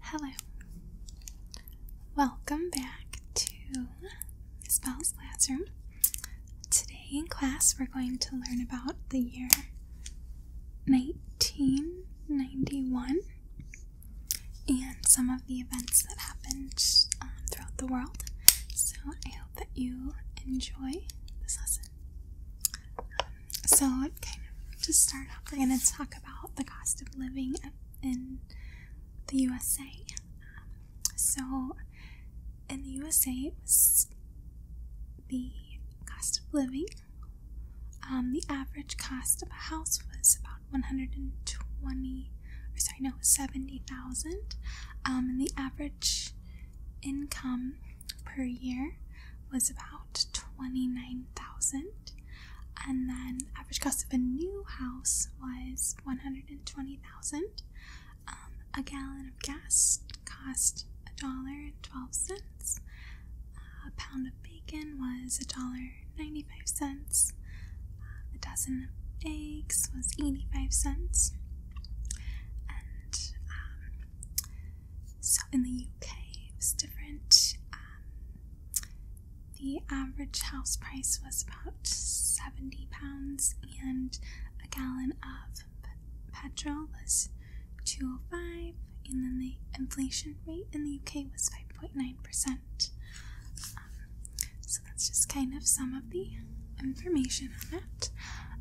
Hello. Welcome back to Spells Bell's classroom. Today in class we're going to learn about the year 1991 and some of the events that happened um, throughout the world. So I hope that you enjoy this lesson. Um, so kind of to start off, we're going to talk about the cost of living in the USA. so in the USA, it was the cost of living. Um, the average cost of a house was about one hundred and twenty, or sorry, no, seventy thousand. Um, and the average income per year was about 29,000 and then average cost of a new house was 120,000. Um, a gallon of gas cost a dollar and 12 cents. A pound of bacon was a dollar 95 cents. a dozen eggs was 85 cents. Um, so in the UK, it was different. Um, the average house price was about seventy pounds, and a gallon of petrol was two oh five. And then the inflation rate in the UK was five point nine percent. Um, so that's just kind of some of the information on that.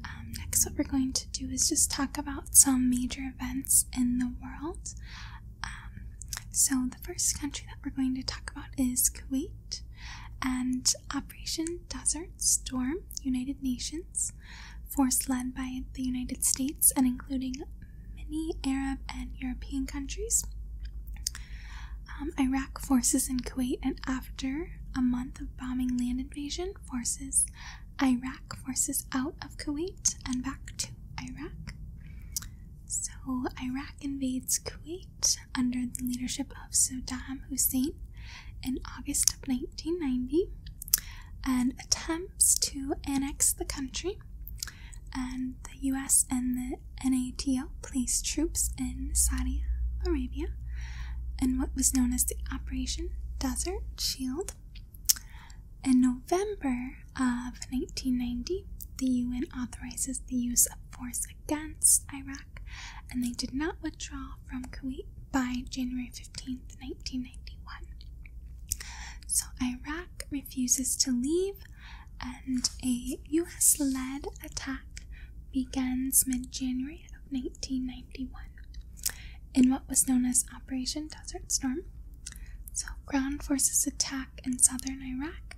Um, next, what we're going to do is just talk about some major events in the world. Um, so, the first country that we're going to talk about is Kuwait and Operation Desert Storm, United Nations, force led by the United States and including many Arab and European countries. Um, Iraq forces in Kuwait, and after a month of bombing land invasion, forces Iraq forces out of Kuwait and back to Iraq. So, Iraq invades Kuwait under the leadership of Saddam Hussein in August of 1990 and attempts to annex the country. And the US and the NATO placed troops in Saudi Arabia in what was known as the Operation Desert Shield in November of 1990, the UN authorizes the use of force against Iraq, and they did not withdraw from Kuwait by January 15, 1991. So Iraq refuses to leave, and a US led attack begins mid January of 1991 in what was known as Operation Desert Storm. So, ground forces attack in southern Iraq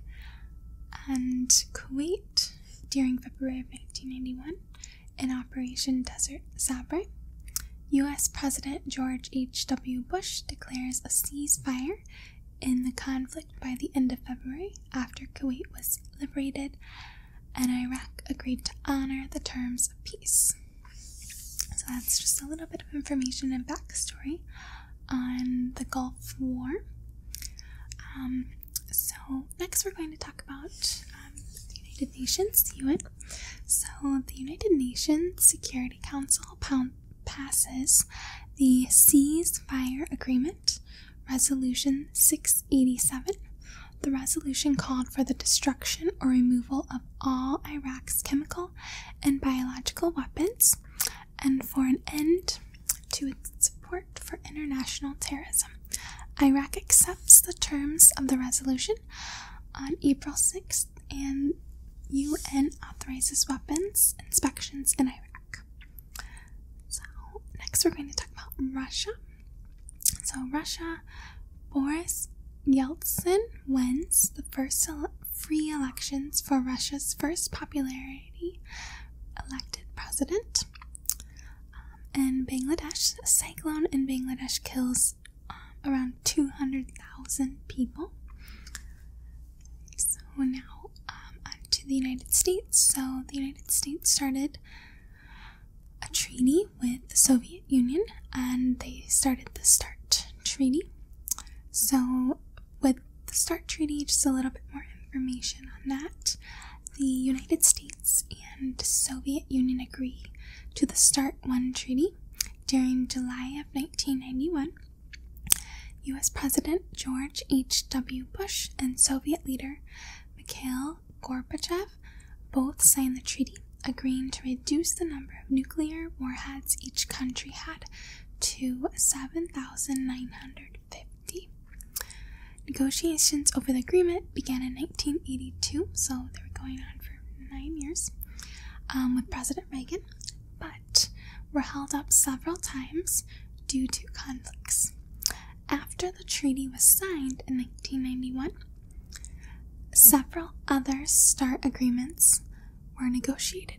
and Kuwait during February of 1991 in Operation Desert Sabre. US President George H.W. Bush declares a ceasefire in the conflict by the end of February after Kuwait was liberated and Iraq agreed to honor the terms of peace. So that's just a little bit of information and backstory on the Gulf War. Um, so, next we're going to talk about um, the United Nations, UN. So, the United Nations Security Council passes the Ceasefire Agreement, Resolution 687, the resolution called for the destruction or removal of all Iraq's chemical and biological weapons and for an end to its support for international terrorism. Iraq accepts the terms of the resolution on April 6th and UN authorizes weapons inspections in Iraq. So, next we're going to talk about Russia. So, Russia, Boris Yeltsin wins the first free elections for Russia's first popularity elected president. Um, and Bangladesh, cyclone in Bangladesh kills um, around 200,000 people. So, now um, to the United States. So, the United States started a treaty with the Soviet Union and they started the START Treaty. So, with the START Treaty, just a little bit more information on that. The United States and Soviet Union agree to the START 1 Treaty during July of 1991. US President George H.W. Bush and Soviet leader Mikhail Gorbachev both signed the treaty, agreeing to reduce the number of nuclear warheads each country had to 7,950. Negotiations over the agreement began in 1982, so they were going on for nine years um, with President Reagan, but were held up several times due to conflicts. After the treaty was signed in 1991, several other START agreements were negotiated,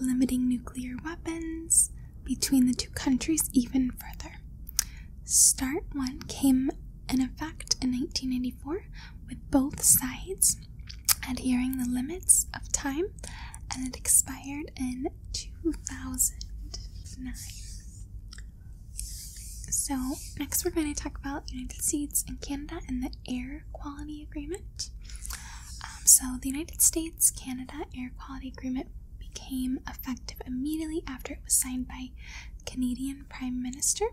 limiting nuclear weapons between the two countries even further. START 1 came into effect in 1994 with both sides adhering the limits of time and it expired in 2009. So, next we're going to talk about United States and Canada and the Air Quality Agreement. Um, so, the United States Canada Air Quality Agreement became effective immediately after it was signed by Canadian Prime Minister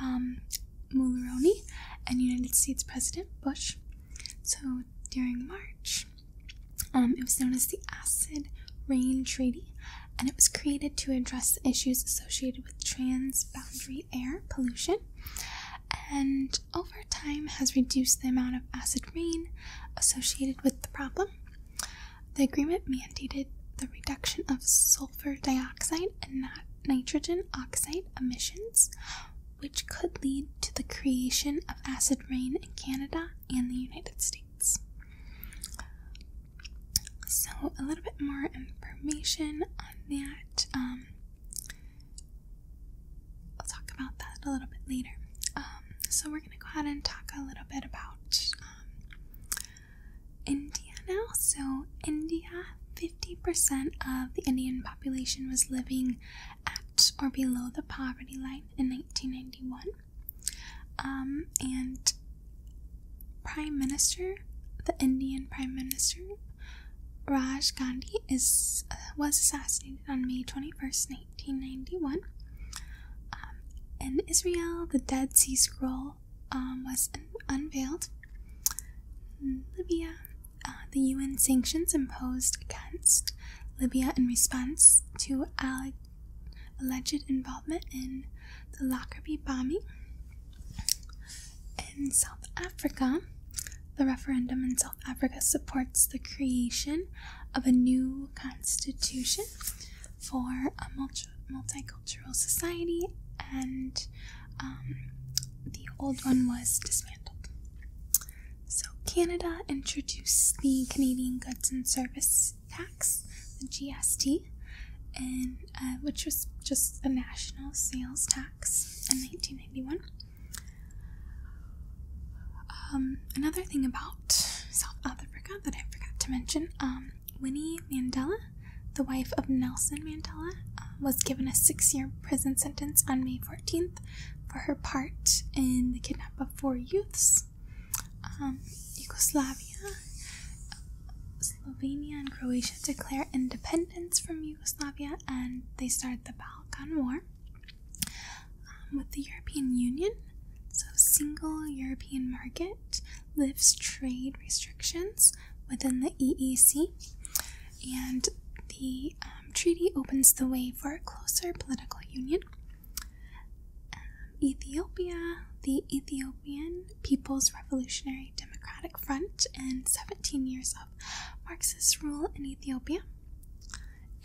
um, Mulroney and United States President Bush. So, during March, um, it was known as the Acid Rain Treaty, and it was created to address issues associated with transboundary air pollution, and over time has reduced the amount of acid rain associated with the problem. The agreement mandated the reduction of sulfur dioxide and not nitrogen oxide emissions, which could lead to the creation of acid rain in Canada and the United States. So, a little bit more information on that. I'll um, talk about that a little bit later. Um, so, we're going to go ahead and talk a little bit about um, India now. So, India 50% of the Indian population was living at or below the poverty line in 1991. Um, and Prime Minister, the Indian Prime Minister Raj Gandhi is uh, was assassinated on May 21st, 1991. Um, in Israel, the Dead Sea Scroll um, was unveiled. Libya, uh, the UN sanctions imposed against Libya in response to Al alleged involvement in the Lockerbie bombing. In South Africa, the referendum in South Africa supports the creation of a new constitution for a multi multicultural society, and um, the old one was dismantled. So, Canada introduced the Canadian Goods and Service Tax, the GST, and, uh, which was just a national sales tax in nineteen eighty one. Um, another thing about South Africa that I forgot to mention um, Winnie Mandela, the wife of Nelson Mandela, uh, was given a six year prison sentence on May 14, 14th for her part in the kidnapping of four youths. Um, Yugoslavia, Slovenia, and Croatia declare independence from Yugoslavia and they start the Balkan War. Um, with the European Union, so single European market lifts trade restrictions within the EEC, and the um, treaty opens the way for a closer political union. Um, Ethiopia, the Ethiopian People's Revolutionary Democratic Front, and 17 years of Marxist rule in Ethiopia.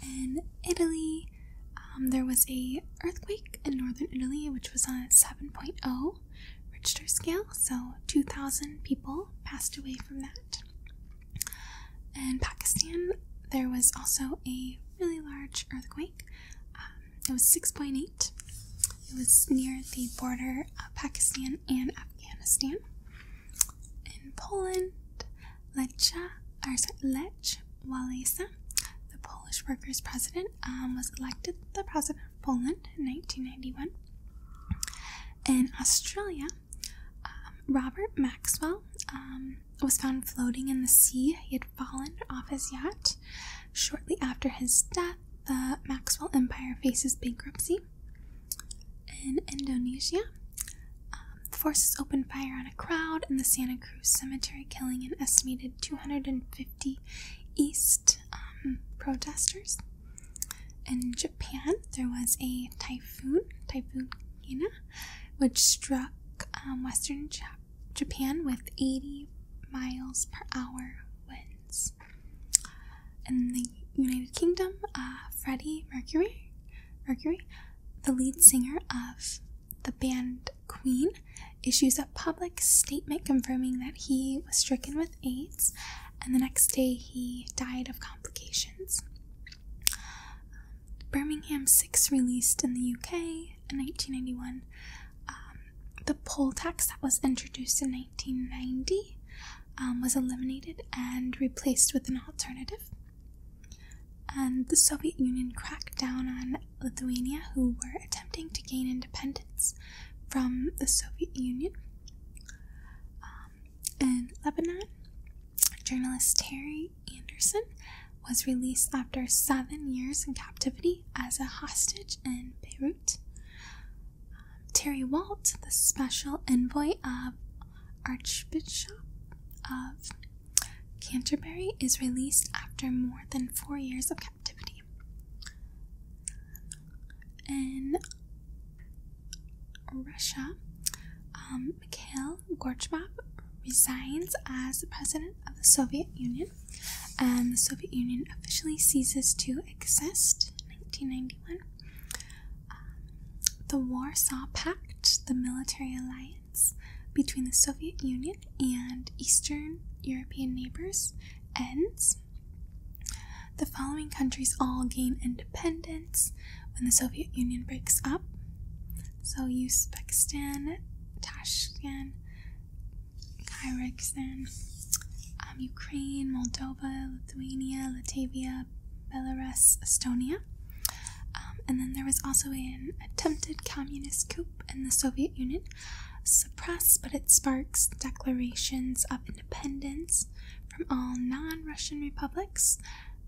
In Italy, um, there was a earthquake in northern Italy, which was on a 7.0 Richter scale, so 2,000 people passed away from that. In Pakistan, there was also a really large earthquake. Um, it was 6.8. It was near the border of Pakistan and Afghanistan. In Poland, Lecha, or sorry, Lech Walesa, the Polish Workers' President, um, was elected the President of Poland in 1991. In Australia, um, Robert Maxwell um, was found floating in the sea. He had fallen off his yacht. Shortly after his death, the Maxwell Empire faces bankruptcy. In Indonesia, um, forces open fire on a crowd in the Santa Cruz cemetery, killing an estimated 250 East protesters. In Japan, there was a typhoon, Typhoon Hina, which struck um, western Japan with 80 miles per hour winds. In the United Kingdom, uh, Freddie Mercury, Mercury, the lead singer of the band Queen, issues a public statement confirming that he was stricken with AIDS, and the next day he died of complications. Birmingham 6 released in the UK in 1991. Um, the poll tax that was introduced in 1990 um, was eliminated and replaced with an alternative. And the Soviet Union cracked down on Lithuania, who were attempting to gain independence from the Soviet Union. Um, in Lebanon, Journalist Terry Anderson was released after seven years in captivity as a hostage in Beirut. Um, Terry Walt, the special envoy of Archbishop of Canterbury, is released after more than four years of captivity. Russia, um, Mikhail Gorbachev resigns as president of the Soviet Union, and the Soviet Union officially ceases to exist. 1991. Um, the Warsaw Pact, the military alliance between the Soviet Union and Eastern European neighbors, ends. The following countries all gain independence when the Soviet Union breaks up. So Uzbekistan, Tashkent, Kyrgyzstan, um, Ukraine, Moldova, Lithuania, Latvia, Belarus, Estonia. Um, and then there was also an attempted communist coup in the Soviet Union, suppressed, but it sparks declarations of independence independence from all non Russian republics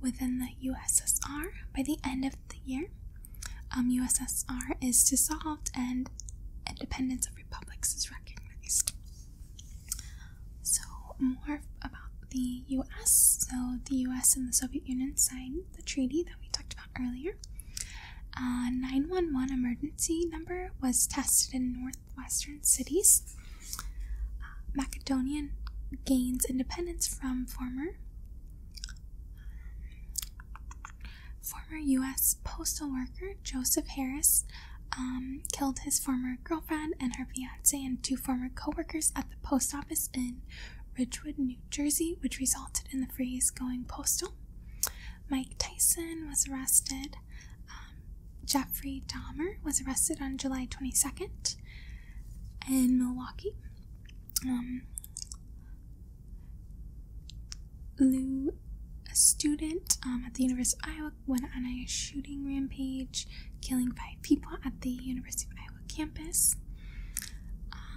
within the USSR by the end of the year. USSR um, is dissolved and independence of republics is recognized. So, more about the US. So, the US and the Soviet Union signed the treaty that we talked about earlier. Uh, 911 emergency number was tested in northwestern cities uh, Macedonian gains independence from former former U.S. postal worker Joseph Harris um, killed his former girlfriend and her fiance and two former coworkers at the post office in Ridgewood, New Jersey, which resulted in the phrase "going postal." Mike Tyson was arrested um, Jeffrey Dahmer was arrested on July 22nd in Milwaukee. Um, Lou, a student um, at the University of Iowa, went on a shooting rampage, killing five people at the University of Iowa campus.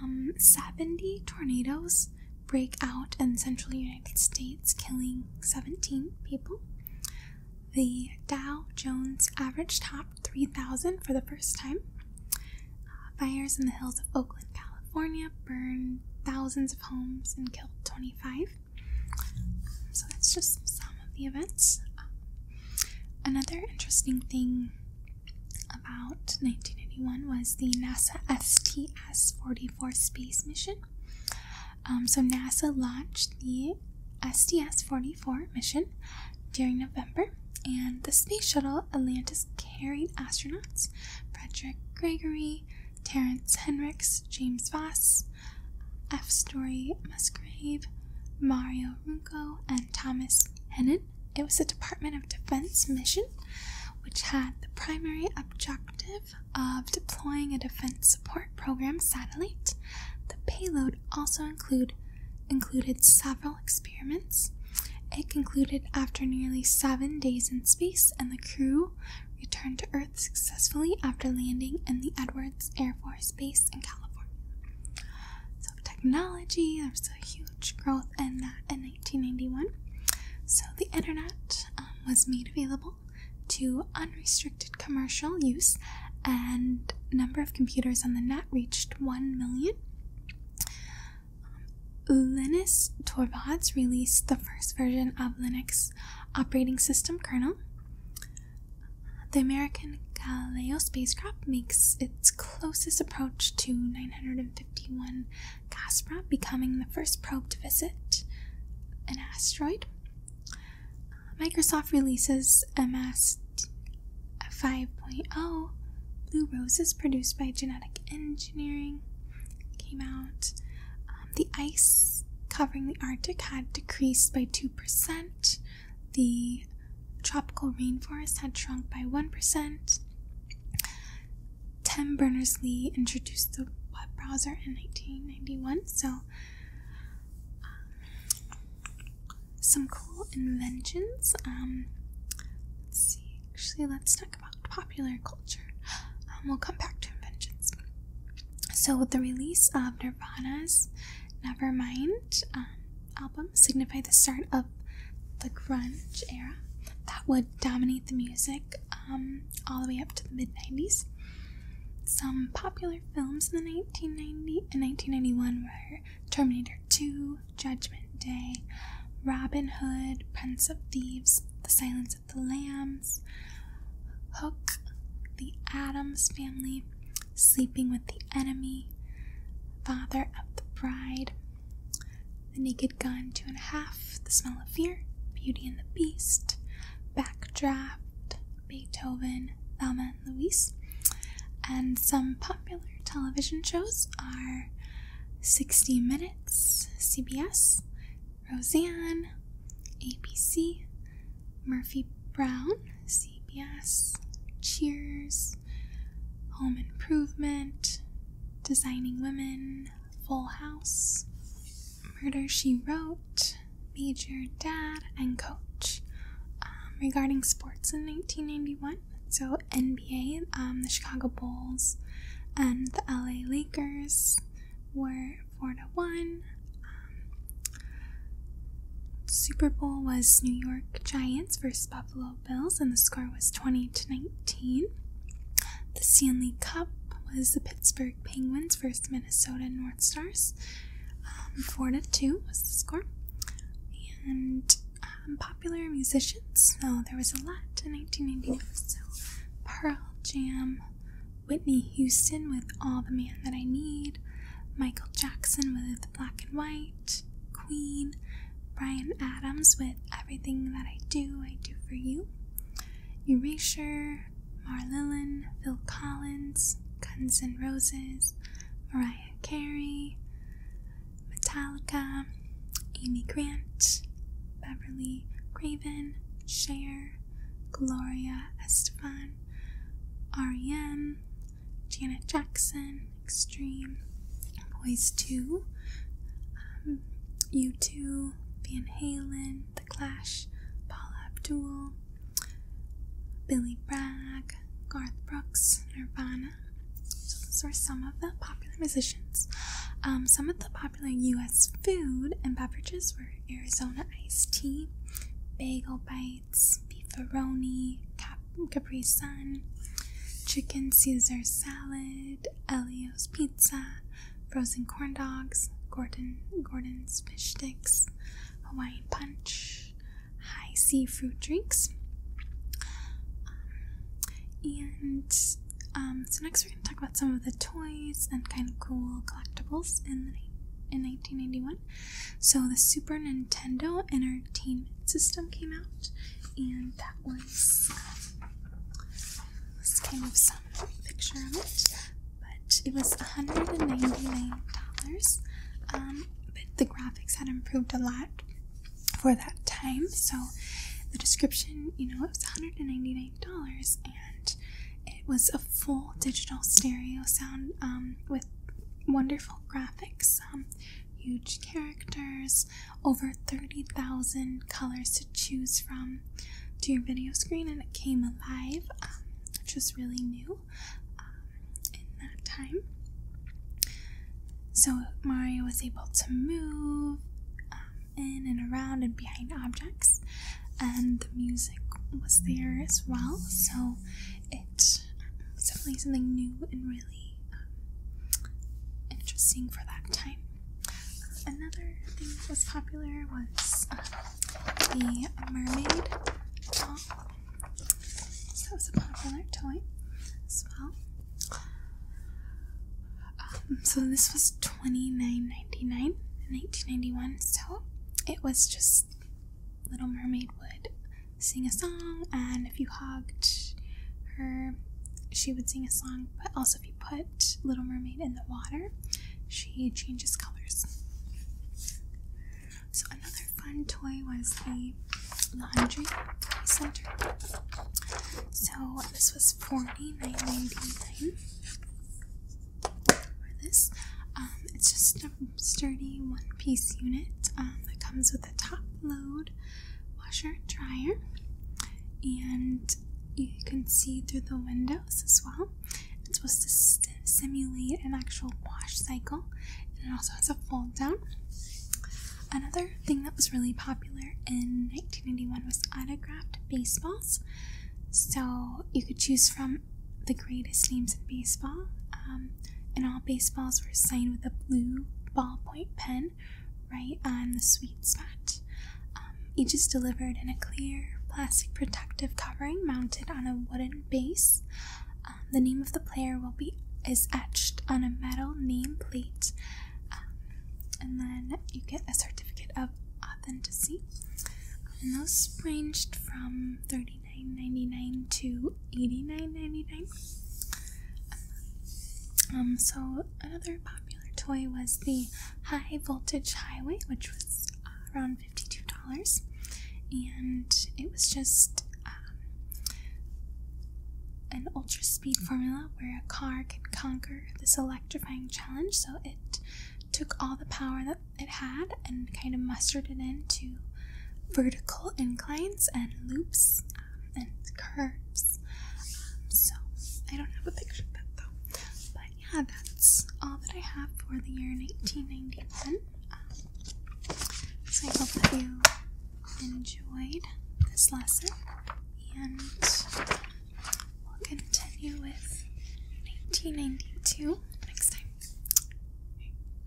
Um, 70 tornadoes break out in central United States, killing 17 people. The Dow Jones average topped 3,000 for the first time. fires uh, in the hills of Oakland, California burned thousands of homes and killed 25. So that's just some of the events. Um, another interesting thing about nineteen eighty-one was the NASA STS 44 space mission. Um, so NASA launched the STS-44 mission during November, and the space shuttle Atlantis carried astronauts Frederick Gregory, Terrence Henricks, James Voss, F. Story Musgrave, Mario Runco, and Thomas Hennen. It was a Department of Defense mission, which had the primary objective of deploying a defense support program satellite, the payload also included several experiments. It concluded after nearly seven days in space, and the crew returned to Earth successfully after landing in the Edwards Air Force Base in California. So, technology, there was a huge growth in that in 1991. So, the internet um, was made available to unrestricted commercial use and number of computers on the net reached 1 million um, linus torvalds released the first version of linux operating system kernel the american galileo spacecraft makes its closest approach to 951 Casper, becoming the first probe to visit an asteroid. Microsoft releases MS 5.0. Blue Roses, produced by Genetic Engineering, came out. Um, the ice covering the Arctic had decreased by 2%. The tropical rainforest had shrunk by 1%. Tim Berners Lee introduced the web browser in 1991, so um, some cool inventions. Um, let's see, actually, let's talk about popular culture. Um, we'll come back to inventions. So, with the release of Nirvana's Nevermind album, signified the start of the grunge era. That would dominate the music um, all the way up to the mid 90s. Some popular films in the 1990 and 1991 were Terminator 2, Judgment Day, Robin Hood, Prince of Thieves, The Silence of the Lambs, Hook, The Adams Family, Sleeping with the Enemy, Father of the Bride, the Naked Gun, two and a half. The Smell of Fear, Beauty and the Beast, Backdraft, Beethoven, Thelma and Louise. And some popular television shows are 60 Minutes, CBS, Roseanne, ABC, Murphy Brown, CBS, Cheers, Home Improvement, Designing Women, Full House, Murder She Wrote, Major Dad, and Coach. Um, regarding sports in 1991, so NBA, um, the Chicago Bulls, and the LA Lakers were 4 to 1. Um, Super Bowl was New York Giants versus Buffalo Bills, and the score was 20 to 19. 19. The Stanley Cup was the Pittsburgh Penguins versus Minnesota North Stars. Um, 4 to 2 was the score. And um, popular musicians, so oh, there was a lot in 1995. So Pearl Jam, Whitney Houston with All the Man That I Need, Michael Jackson with Black and White, Queen, Brian Adams with Everything That I Do, I Do For You, Erasure, Marlillon, Phil Collins, Guns N' Roses, Mariah Carey, Metallica, Amy Grant, Beverly Craven, Cher, Gloria Estefan, R.E.M., Janet Jackson, Extreme, Boys 2, um, U2, Van Halen, The Clash, Paul Abdul, Billy Bragg, Garth Brooks, Nirvana. those were some of the popular musicians. Um, some of the popular U.S. food and beverages were Arizona iced tea, bagel bites, beefaroni, cap- Capri Sun, chicken Caesar salad, Elio's Pizza, frozen corn dogs, Gordon Gordon's fish sticks, Hawaiian punch, high sea fruit drinks, um, and um, so next we're going to talk about some of the toys and kind of cool collectibles in the in 1991. So the Super Nintendo Entertainment System came out, and that was this came with some picture of it, but it was $199. Um, but the graphics had improved a lot for that time, so the description, you know, it was $199 and it was a full digital stereo sound um, with wonderful graphics. Um, huge characters, over 30,000 colors to choose from to your video screen, and it came alive, um, which was really new um, in that time. So Mario was able to move um, in and around and behind objects, and the music was there as well, so it was definitely something new and really um, interesting for that time. another thing that was popular was um, the mermaid doll. So that was a popular toy as well. Um, so this was twenty nine ninety nine in nineteen ninety one. So it was just Little Mermaid would sing a song, and if you hugged her, she would sing a song, but also if you put Little Mermaid in the water, she changes colors. So another fun toy was the laundry center. So this was 49 for this. Um, it's just a sturdy one-piece unit um, that comes with a top load washer dryer, and you can see through the windows as well. It's supposed to simulate an actual wash cycle, and it also has a fold down. Another thing that was really popular in 1981 was autographed baseballs. So you could choose from the greatest names in baseball, um, and all baseballs were signed with a blue ballpoint pen right on the sweet spot. Um, each is delivered in a clear plastic protective covering mounted on a wooden base. Um, the name of the player will be is etched on a metal name plate, um, and then you get a certificate of authenticity. And those ranged from $39.99 to Eighty-nine ninety-nine. Um, so another popular toy was the High Voltage Highway, which was around $52. And it was just um, an ultra speed formula where a car could conquer this electrifying challenge. So it took all the power that it had and kind of mustered it into vertical inclines and loops and curves. Um, so I don't have a picture of that though. But yeah, that's all that I have for the year 1991. Um, so I hope that you enjoyed this lesson, and we'll continue with 1992 next time.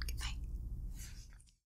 Goodbye.